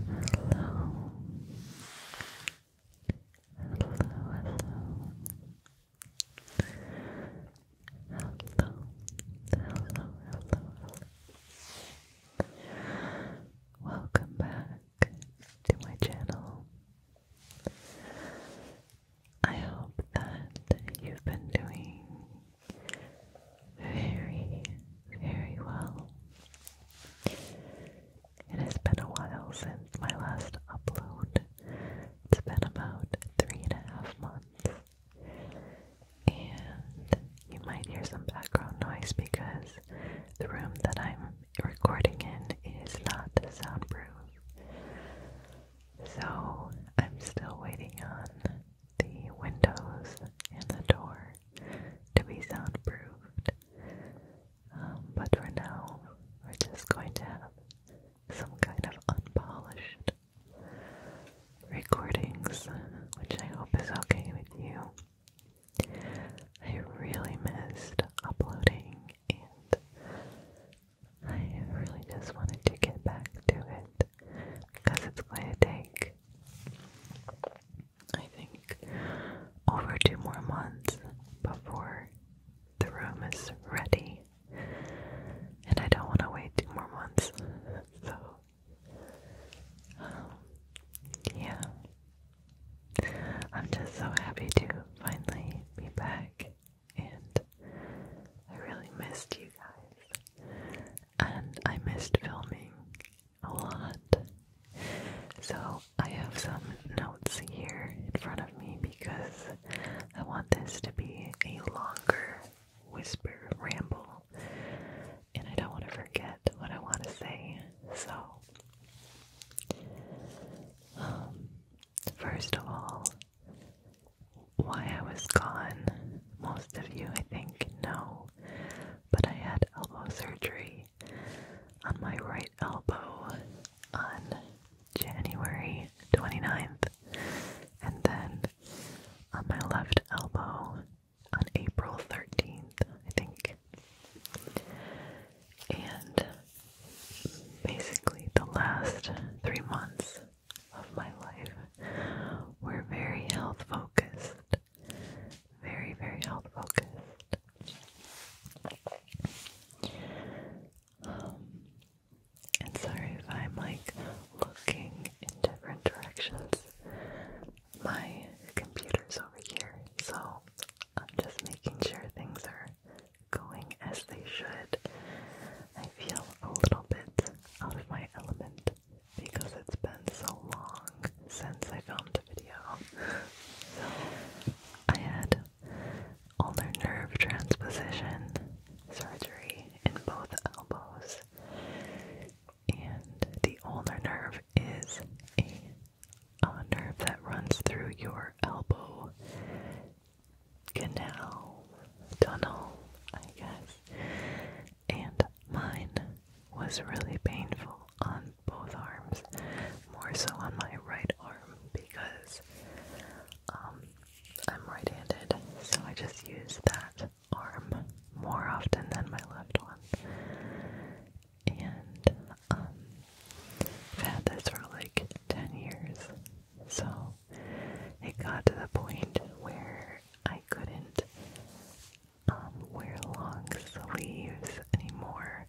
Hello. Hello, hello. Hello, hello, hello, Welcome back to my channel. I hope that you've been doing very, very well. It has been a while since my last upload. It's been about three and a half months. And you might hear some background noise because the room that I'm recording in is not soundproof. So I'm still waiting on the windows and the door to be soundproofed. Um, but for now, we're just going to have some kind of unpolished recordings, which I hope is okay with you. I really missed uploading, and I really just wanted to get back to it because it's going to take I think over two more months before the room is ready. And I don't want to wait two more months. So um, yeah. I'm just so happy to finally be back and I really missed you guys and I missed filming a lot. So I have some notes here in front of me because I want this to be a longer whisper ramble and I don't want to forget what I want to say. So, um, first of all, why I was gone, most of you I think know but I had elbow surgery on my right elbow on January 29th, and then on my left elbow on April 13th, I think. And basically, the last three months of my life we're very health focused. Very, very health focused. and sorry if I'm like looking in different directions. My computer's over here, so I'm just making sure things are going as they should. I feel a little bit out of my element because it's been so long since I filmed a video. I had ulnar nerve transposition surgery in both elbows. And the ulnar nerve is a nerve that runs through your elbow canal, tunnel, I guess and mine was really painful on both arms, more so on my right arm because um, I'm right handed, so I just use that arm more often than my left one. And um, I've had this for like 10 years, so it got to the point where I couldn't um, wear long sleeves anymore,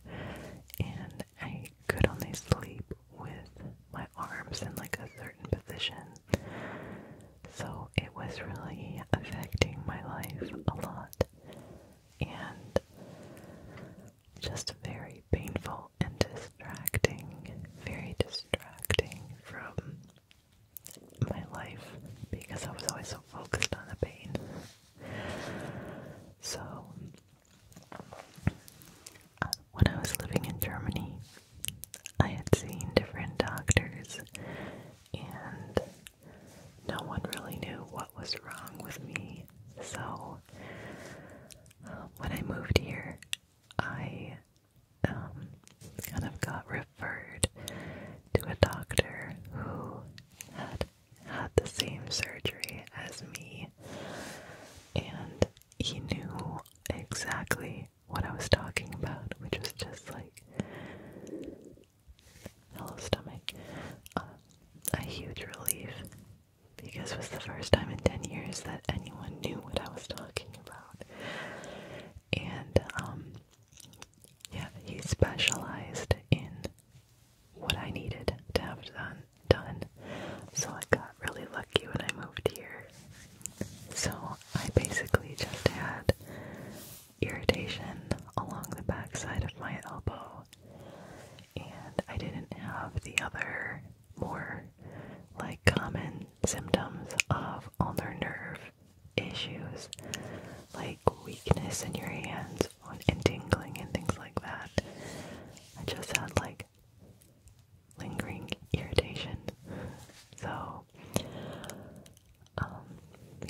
and I could only sleep with my arms in like a certain position. So it was really affecting my life a lot and just very painful and distracting, very distracting from my life because I was always so focused on the pain. So, when I was living in Germany, I had seen different doctors, and no one really knew what was wrong with me. So, uh, when I moved here, I um, kind of got referred to a doctor who had had the same surgery as me, and he knew exactly what I was talking about, which was just like, hello, stomach, uh, a huge relief because it was the first time in 10 years that anyone knew what I was talking talking about. And um yeah, he specialized in what I needed to have done done. So I got really lucky when I moved here. So I basically just had irritation along the backside of my elbow. And I didn't have the other more like common symptoms of ulnar nerve issues like weakness in your hands and tingling and things like that. I just had like lingering irritation. So, um,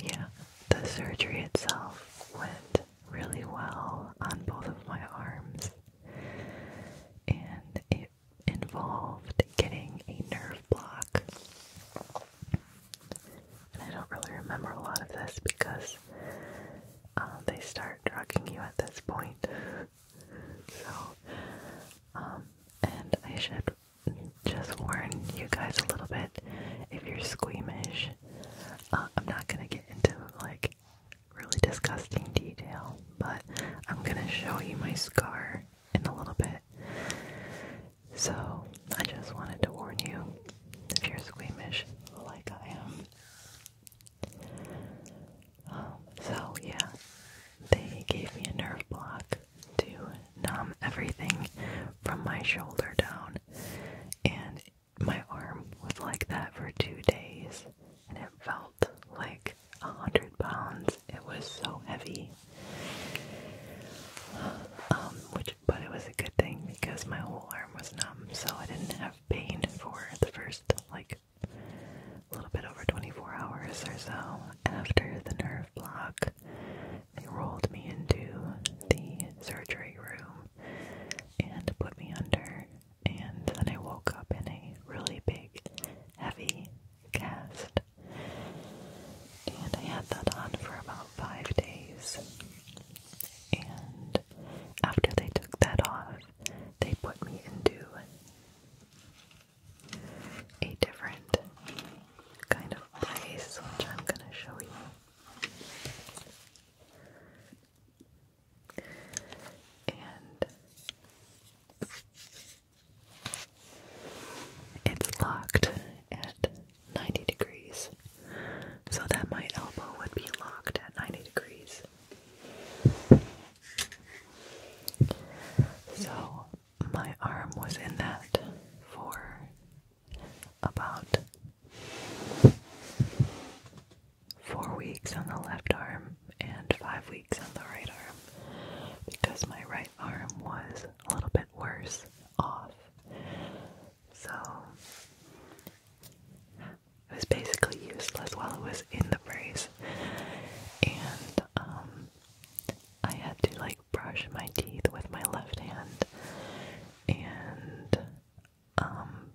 yeah, the surgery itself went really well on both of my arms, and it involved getting a nerve block. And I don't really remember a lot of this because uh, they start drugging you at this point. so, um, and I should just warn you guys a little bit if you're squeamish. Uh, I'm not gonna get into like really disgusting detail, but I'm gonna show you my scar in a little bit. So, I just wanted to warn you if you're squeamish like I am. Um, so, yeah, they gave me a nerve block to numb everything from my shoulder down, and my arm was like that for two days, and it felt like a hundred pounds. It was so heavy. Um, which, but it was a good thing because my whole arm was numb, so I didn't have pain for the first like a little bit over 24 hours or so. After the nerve block, they rolled me into the surgery room and put me under, and then I woke up in a really big, heavy cast. And I had that on for about five days. And after they took that off, they put me into a different kind of place, which I'm gonna show you. And it's locked at 90 degrees, so that my elbow would be locked at 90 degrees. So my arm was in that for about four weeks on the left arm and five weeks on the right arm because my right arm was a little bit worse off. So it was basically useless while it was in the brace. And um I had to like brush my teeth with my left hand and um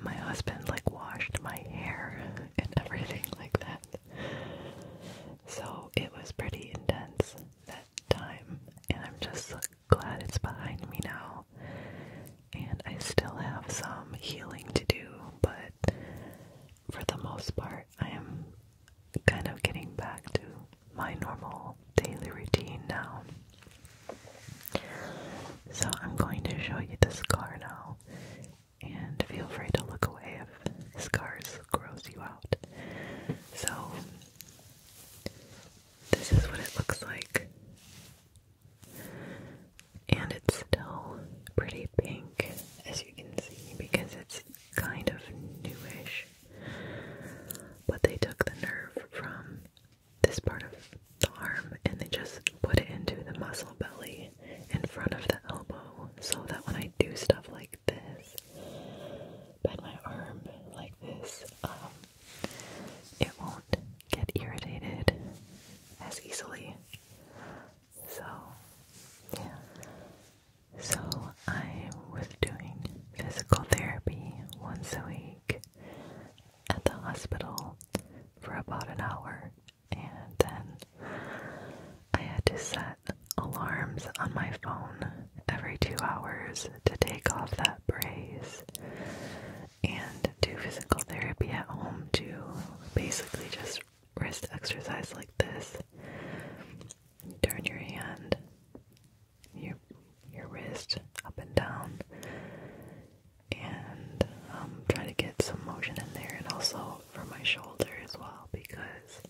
my husband like washed my hair and everything like that. So it was pretty intense that time, and I'm just glad it's behind me now. And I still have some healing to do, but for the most part, I am kind of getting back to my normal daily routine now. So I'm going to show you the scar now and feel free to look away if the scars gross you out. So, this is what it looks like. And it's still pretty pink, as you can see, because it's kind of newish. But they took the nerve from this part of the arm and they just put it into the muscle belly in front of the elbow so that when I do stuff like this, bend my arm like this, um, it won't get irritated as easily. So, yeah. So, I was doing physical therapy once a week at the hospital for about an hour and then I had to set alarms on my phone every two hours to take off that brace and do physical therapy at home to basically just wrist exercise like this. Turn your hand, your your wrist up and down, and um, try to get some motion in there. And also, out for my shoulder as well because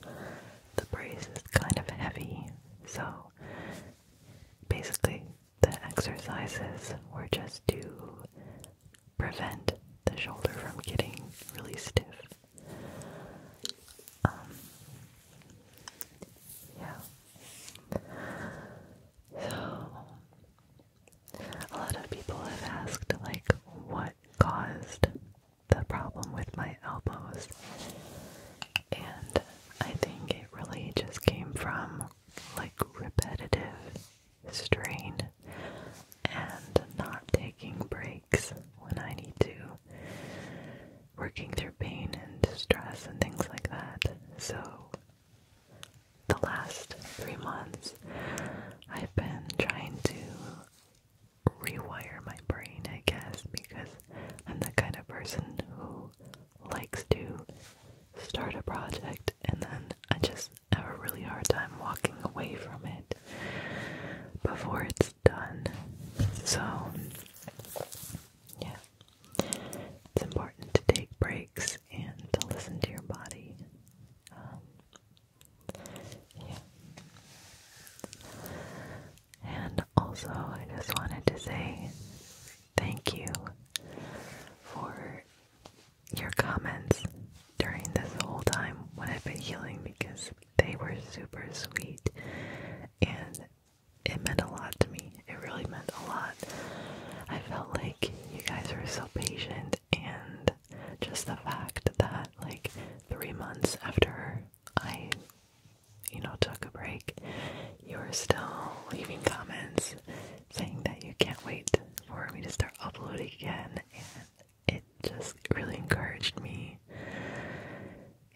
the brace is kind of heavy. So basically, the exercises were just to prevent the shoulder from getting really stiff. Um, yeah. So a lot of people have asked, like, what caused the problem with my elbows, and I think it really just came from like repetitive strain and not taking breaks when I need to, working through pain and stress and things like that. So the last three months, I've been trying to rewire my brain, I guess, because I'm the kind of person who likes to start a project and then I just have a really hard time walking away from it before it's done. So, yeah, it's important to take breaks and to listen to your body. Um, yeah. And also, I just wanted to say thank you for your comments during this whole time when I've been healing because they were super sweet and it meant a lot to me. It really meant a lot. I felt like you guys were so patient and just the fact that like three months after I you know took a break, you were still leaving comments saying that you can't wait for me to start uploading again and it just really encouraged me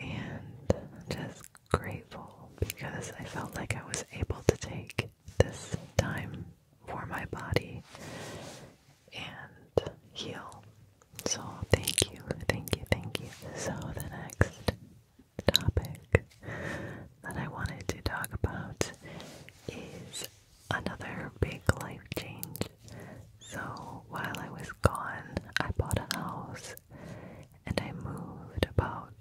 and just grateful because I felt like I was able to take this time for my body and heal. So, thank you, thank you, thank you. So, the next topic that I wanted to talk about is another big life change. So, while I was gone, I bought a house and I moved about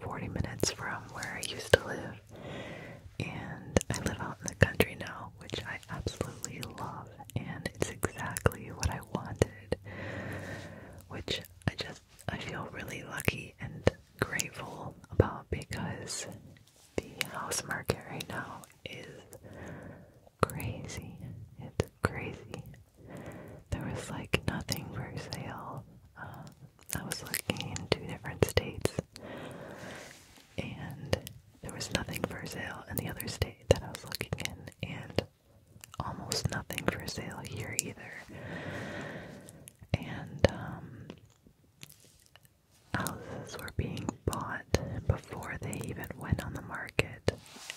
40 minutes from where I used to live. And I live out in the country now, which I absolutely love, and it's exactly what I wanted. Which I just I feel really lucky and grateful about because the house market right now is crazy. It's crazy. There was like nothing for sale. Um, I was looking in two different states, and there was nothing for sale in the other state that I was looking in, and almost nothing for sale here either. And um, houses were being bought before they even went on the market,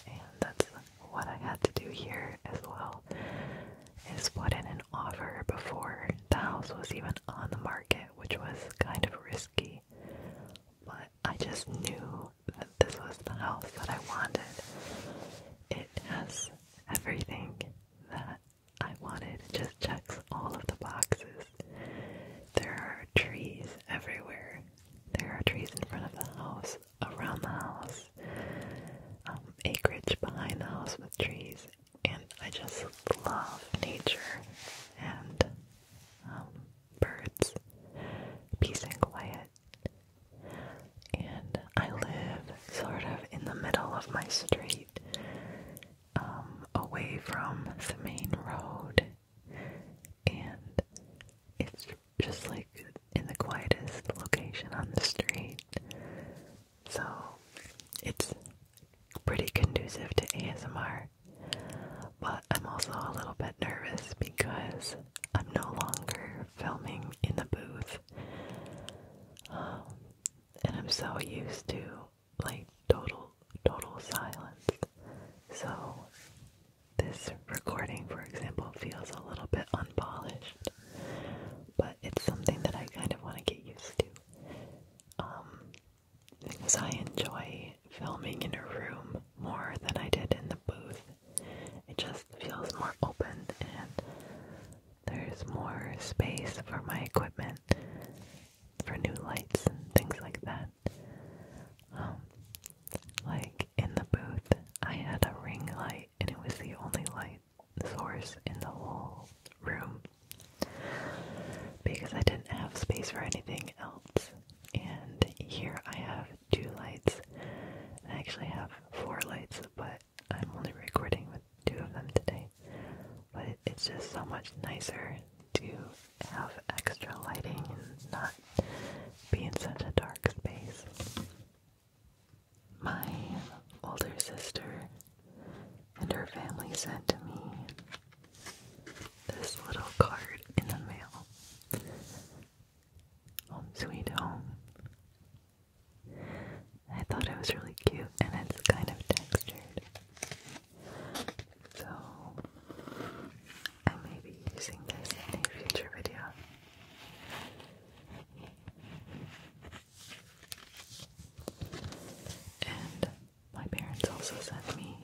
and that's what I had to do here as well. Is put in an offer before the house was even on the market, which was kind of risky. But I just knew that this was the house that I wanted. It has everything that I wanted, it just checks all of the boxes. There are trees everywhere, there are trees in front of the house, around the house, um, acreage behind the house with trees and I just love nature and um, birds, peace and quiet. And I live sort of in the middle of my street, um, away from the main road, and it's just like in the quietest location on the street. So it's pretty conducive to ASMR. But I'm also a little bit nervous because I'm no longer filming in the booth. Um, and I'm so used to like total total silence. So this recording for example feels a little bit unpolished. But it's something that I kind of want to get used to um, because I enjoy filming in a room more than I did in the booth. It just feels more open and there's more space for my equipment, for new lights and things like that. Um, like in the booth, I had a ring light and it was the only light source in the whole room because I didn't have space for anything else. And here I have two lights. I actually have four lights, but I'm only recording with two of them today. But it's just so much nicer to have extra lighting and not be in such a dark space my older sister and her family sent to me this little card in the mail. Home Sweet Home. I thought it was really cute and it's kind of textured. So I may be using this in a future video. And my parents also sent me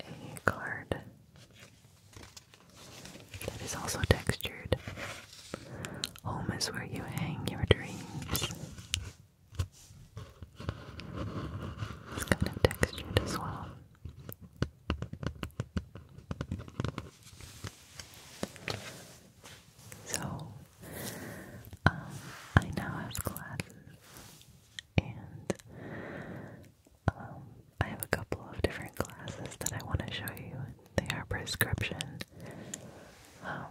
a card that is also textured. Home is where you hang your dreams. It's kind of textured as well. So um, I now have classes, and um, I have a couple of different classes that I want to show you. They are prescription. Um,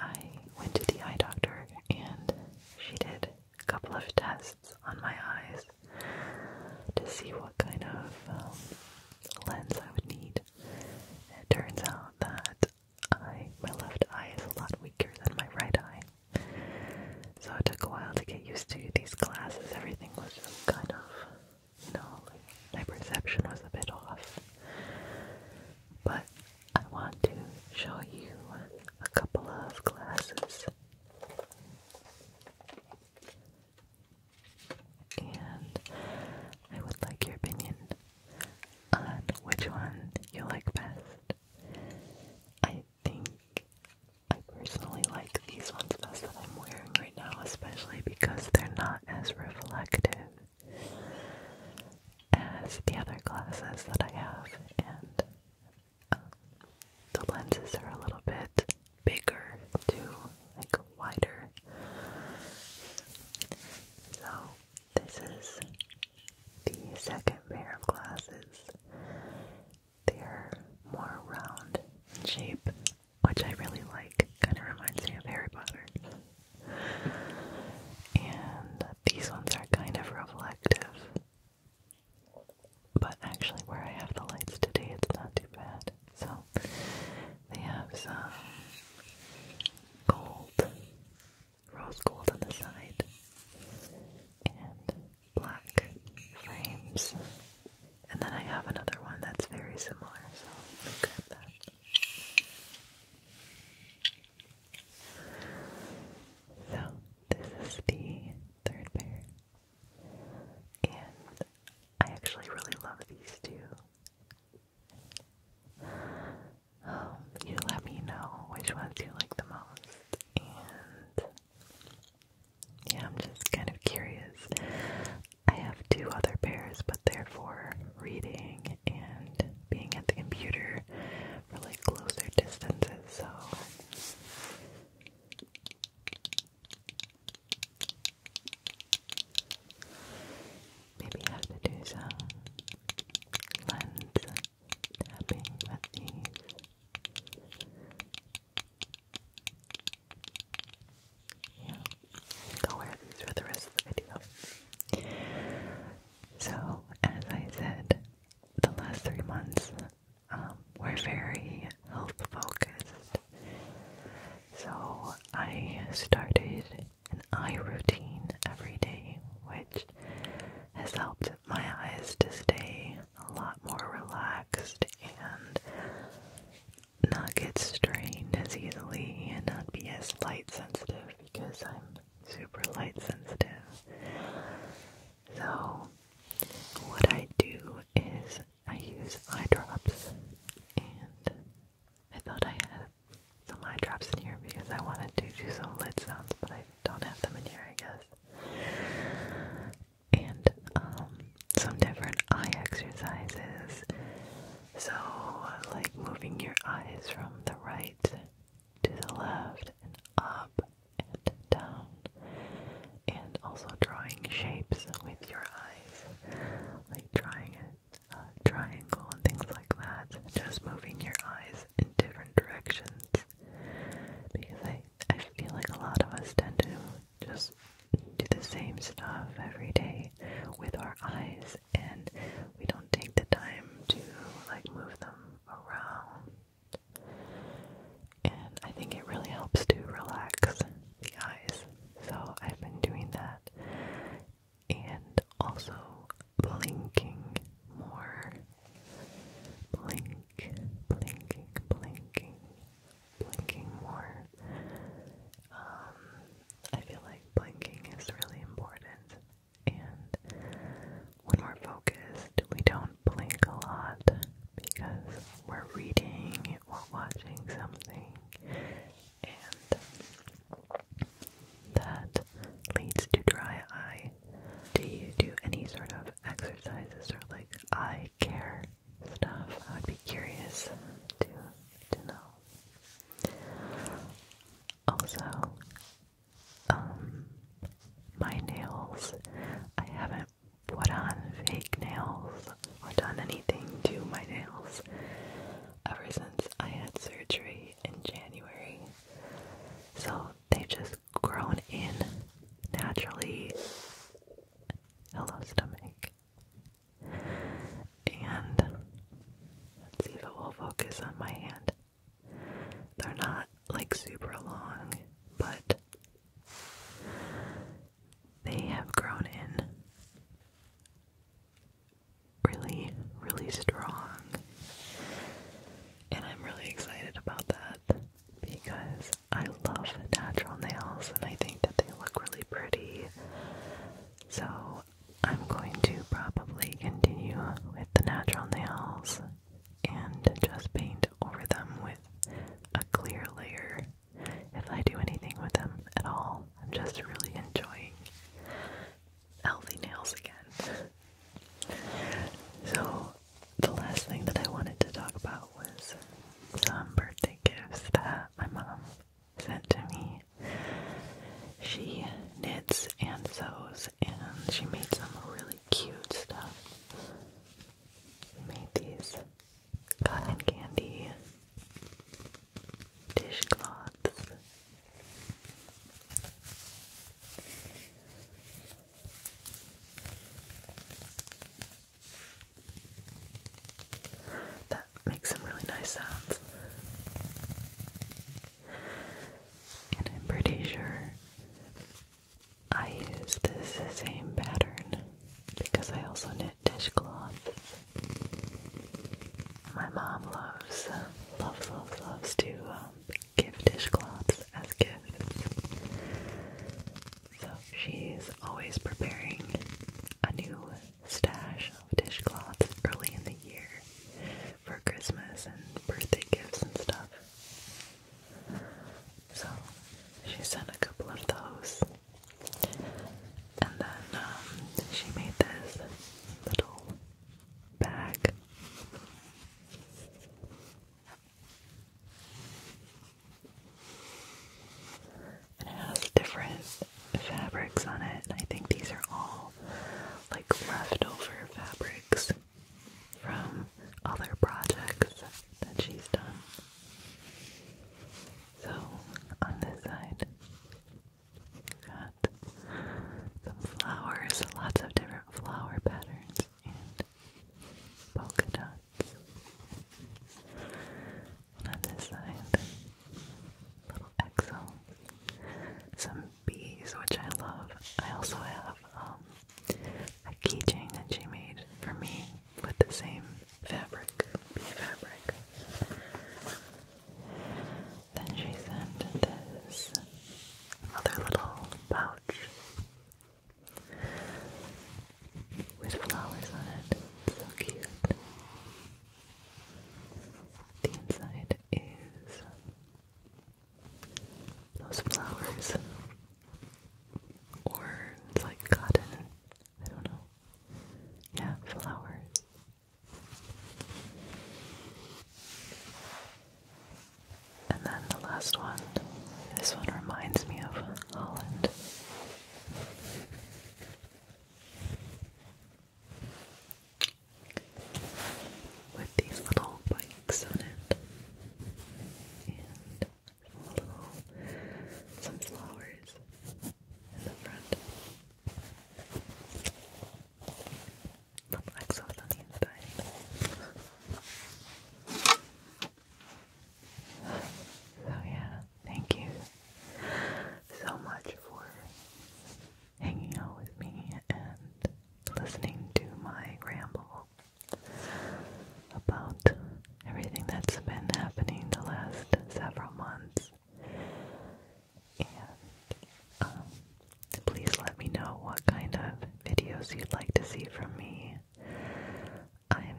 I went to the eye doctor, and she did a couple of tests on my eyes to see what kind of lens I would need. It turns out that my left eye is a lot weaker than my right eye. So it took a while to get used to these glasses. Everything was kind of, you know, my perception was a bit off. But I want to show you a couple of glasses and I would like your opinion on which one you like best. I think I personally like these ones best that I'm wearing right now, especially because they're not as reflective as the other glasses that I have, and um, the lenses are a little bit bigger too, wider. So, this is the second pair of glasses. They are more round shape, which I really like. Kind of reminds me of Harry Potter. And these ones are kind of reflective. But actually, where I have the lights today, it's not too bad. So, they have some gold, rose gold on the side, and black frames. And then I have another one that's very similar, so I'll that. So, this is the third pair. And I actually really love these two you let me know which ones you like the most, and yeah, I'm just kind of curious. I have two other pairs, but they're for reading and being at the computer for like closer distances, so Maybe I have to do some lens tapping with these. Yeah, I will wear these for the rest of the video. So, as I said, the last three months um, were very health focused. So I started an eye routine every day, which has helped my eyes to stay a lot more relaxed and not get strained as easily and not be as light sensitive because I'm super light sensitive. So, what I do is I use eye drops, and I thought I had some eye drops in here because I wanted to do some lid sounds, but I don't have them in here, I guess. And um, some different eye exercises. So, like moving your eyes from the right to the left and up and down, and also drawing shapes with your eyes like triangle and things like that, just moving your eyes in different directions. Because I, I feel like a lot of us tend to just do the same stuff every day with our eyes and we don't take the time to like move them around. And I think it really helps to relax the eyes. So I've been doing that and also blinking more. Blink, blinking, blinking, blinking more. Um, I feel like blinking is really important, and when we're focused, we don't blink a lot because we're reading while watching something, and that leads to dry eye. Do you do any sort of exercises or like eye care stuff? I would be curious to to know. Also, um, my nails. I haven't put on fake nails or done anything to my nails ever since I had surgery in January. So they've just grown in naturally. Hello, stomach. And see if it will focus on my hand. They're not like super long, but they have grown in really, really strong. And I'm really excited about that because I love natural nails and I think that they look really pretty. So I'm going to probably continue with the natural nails and just paint over them with a clear layer if I do anything with them at all. I'm just really enjoying healthy nails again. So, the last thing that I wanted to talk about was some birthday gifts that my mom sent to me. She knits and sews, and she made some really cute stuff. Made these cotton candy, dishcloths. That makes some really nice sounds. And I'm pretty sure I use this same pattern because I also knit dishcloths. My mom loves, loves, loves, loves to um, give dishcloths as gifts. So she's always preparing a new stash of dishcloths early in the year for Christmas and birthday gifts and stuff. So she sent a couple of those and then um, she made this little bag. And it has different fabrics on it. And I think these are all like leftover fabrics from other projects that she's done. So on this side, got some flowers, lots of different flower patterns and polka dots. on this side, little exo, some bees, which I love. I also have um, a keychain that she made for me with the same fabric, bee fabric. Then she sent this other little pouch with flowers on it. It's so cute. The inside is those flowers, or it's like cotton I don't know. Yeah, flowers. And then the last one. This one reminds me of Holland. With these little bikes on it some flowers in the front. Little exos on the inside. So oh, yeah, thank you so much for hanging out with me and listening to my ramble about everything that's been happening the last several months. And um, please let me know what kind of videos you'd like to see from me. I'm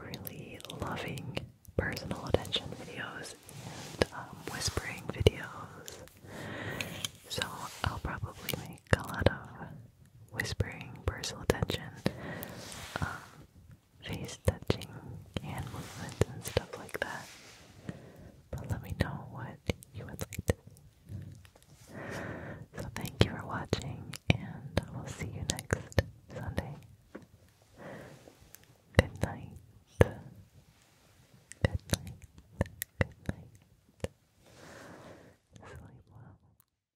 really loving personal attention videos and um, whispering videos. So I'll probably make a lot of whispering, personal attention, um, face touching, hand movement, and stuff like that. But let me know what you would like to see. So thank you for watching, and I will see you next Sunday. Good night. Good night. Good night. Sleep well.